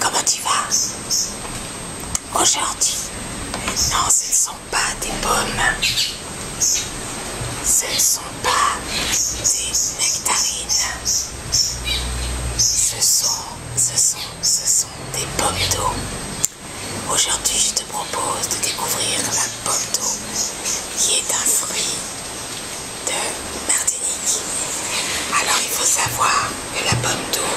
comment tu vas oh, Aujourd'hui, non, ce ne sont pas des pommes, ce ne sont pas des nectarines, ce sont, ce sont, ce sont des pommes d'eau. Aujourd'hui, je te propose de découvrir la pomme d'eau qui est un fruit de Martinique. Alors il faut savoir que la pomme d'eau,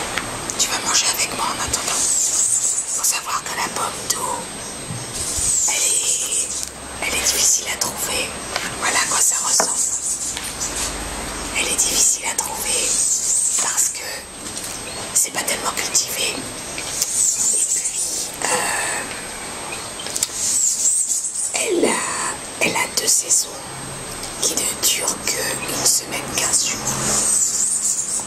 tu vas manger avec moi en attendant. Il faut savoir que la pomme d'eau, elle est, elle est difficile à trouver. Voilà à quoi ça ressemble. Elle est difficile à trouver parce que c'est pas tellement cultivé. Et puis, euh, elle a elle a deux saisons qui ne durent qu'une semaine, quinze jours.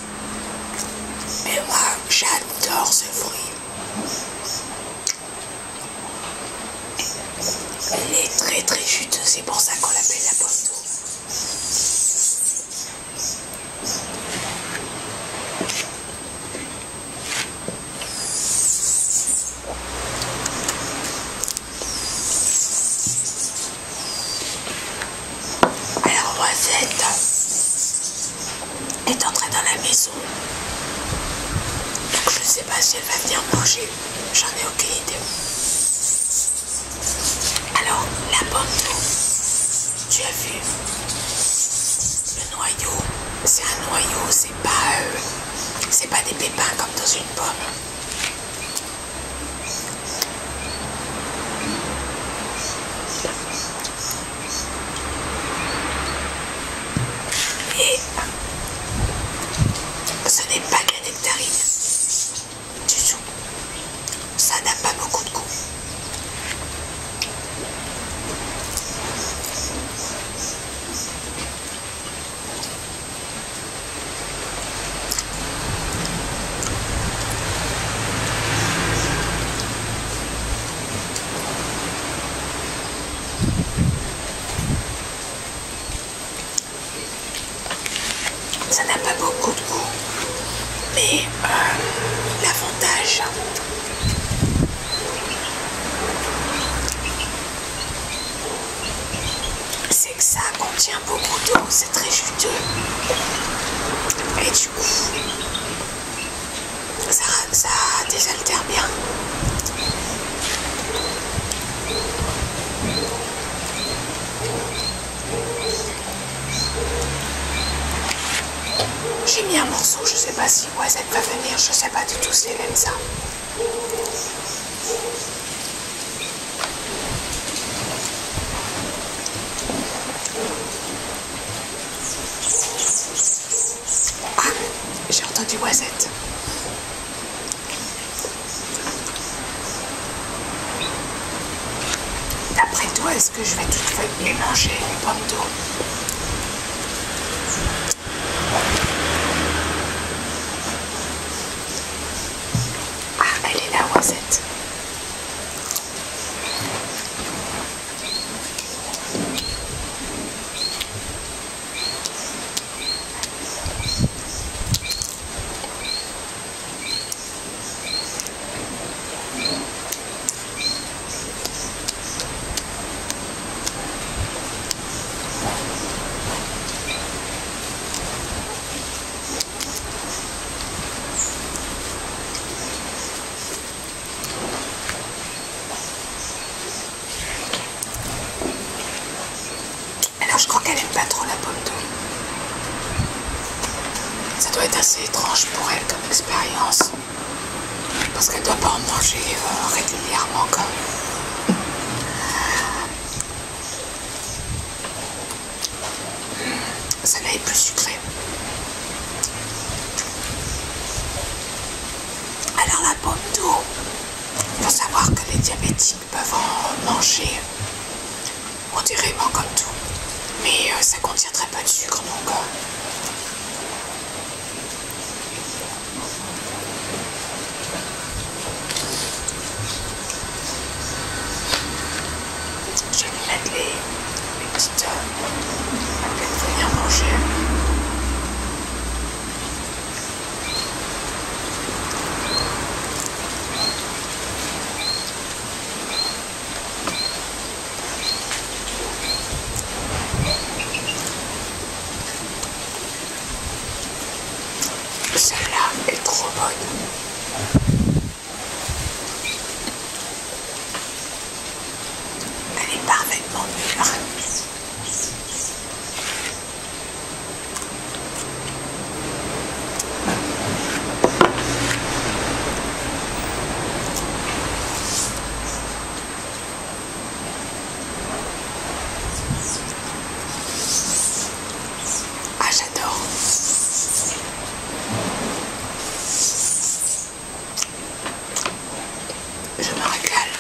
Mais moi, j'adore ce fruit. Elle est très très juteuse, c'est pour ça qu'on l'appelle la pomme d'eau. Alors, Rosette est entrée dans la maison. je ne sais pas si elle va venir manger. J'en ai aucune idée. Alors, la pomme tu as vu, le noyau, c'est un noyau, c'est pas, euh, pas des pépins comme dans une pomme. Et ce n'est pas de la du tout. Ça n'a pas beaucoup de goût. Ça n'a pas beaucoup de goût, mais euh, l'avantage c'est que ça contient beaucoup d'eau, c'est très juteux. Et du coup, ça, ça désaltère bien. J'ai mis un morceau, je sais pas si Oisette va venir, je sais pas du tout si elle aime ça. Ah, j'ai entendu Oisette. D'après toi, que je vais tout toutes les manger, les pommes d'eau. Ah, elle est la Oisette. Alors je crois qu'elle veut pas trop la pomme de ça doit être assez étrange pour elle comme expérience. Parce qu'elle ne doit pas en manger euh, régulièrement comme. Ça là est plus sucré. Alors la pomme d'eau, il faut savoir que les diabétiques peuvent en manger on dirait modérément comme tout. Mais euh, ça ne contiendrait pas de sucre, donc... gars. Je vais mettre les, petites... Euh, pour venir manger. Celle-là est trop bonne. Elle est parfaitement mûre. Ah j'adore Je me régale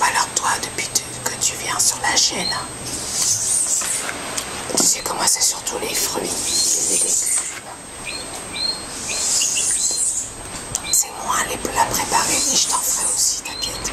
alors toi, depuis que tu viens sur la chaîne, tu sais comment c'est surtout les fruits et les légumes. C'est moi les plats préparés, et je t'en ferai aussi, t'inquiète.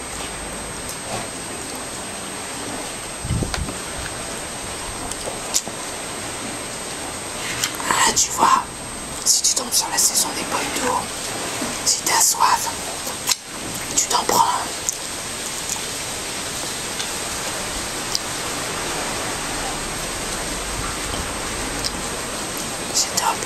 Ah, tu vois, si tu tombes sur la saison des poils d'eau, si t'as soif, tu t'en prends. C'est top.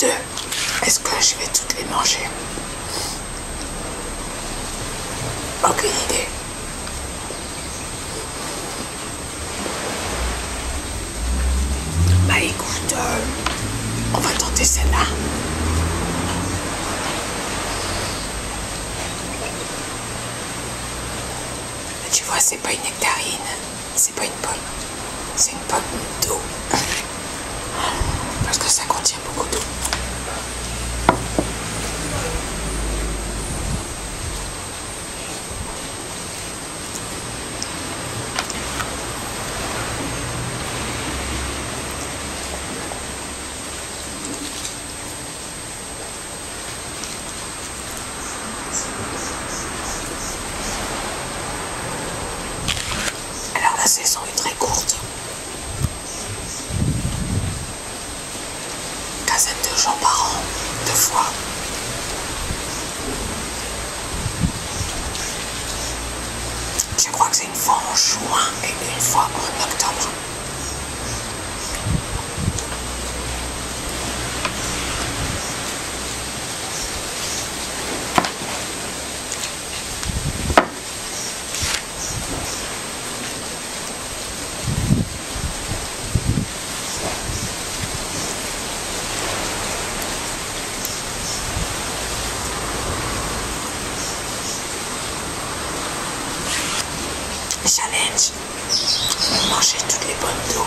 Deux, est-ce que je vais toutes les manger Aucune idée. Bah écoute... Euh, on va tenter celle-là. Tu vois, c'est pas une nectarine, c'est pas une pomme, c'est une pomme d'eau. Parce que ça contient beaucoup d'eau. Alors la saison est très courte. Quinzaine de gens par an, deux fois. Je crois que c'est une fois en juin et une fois en octobre. Challenge, manger toutes les pommes d'eau.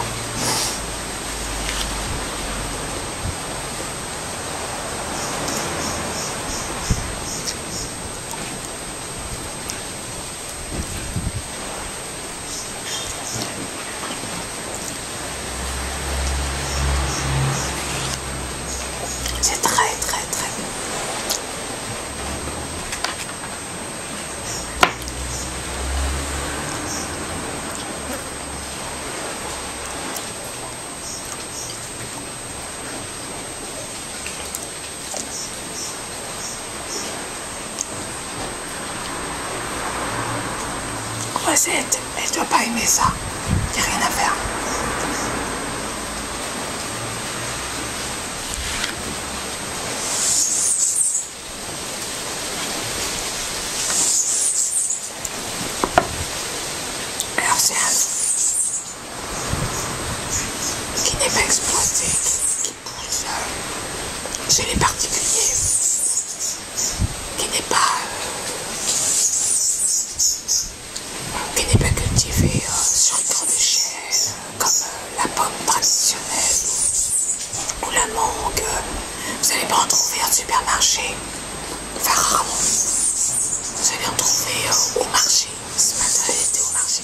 C'est très très très bon. Croisette, mais tu dois pas aimer ça. rien à faire. Alors c'est qui n'est pas exposé. C'est chez les particuliers qui n'est pas euh, cultivé euh, sur une grande échelle comme euh, la pomme traditionnelle ou la mangue vous n'allez pas en trouver un supermarché enfin rarement vous allez en trouver au marché ce matin au marché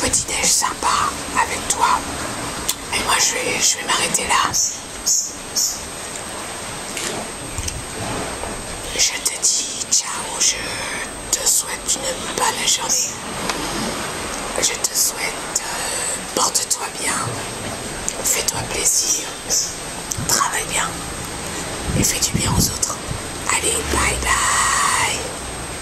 petit neige sympa avec toi. Et moi, je vais, je vais m'arrêter là. Je te dis ciao, je te souhaite une bonne journée. Je te souhaite, euh, porte-toi bien, fais-toi plaisir, travaille bien et fais du bien aux autres. Allez, bye bye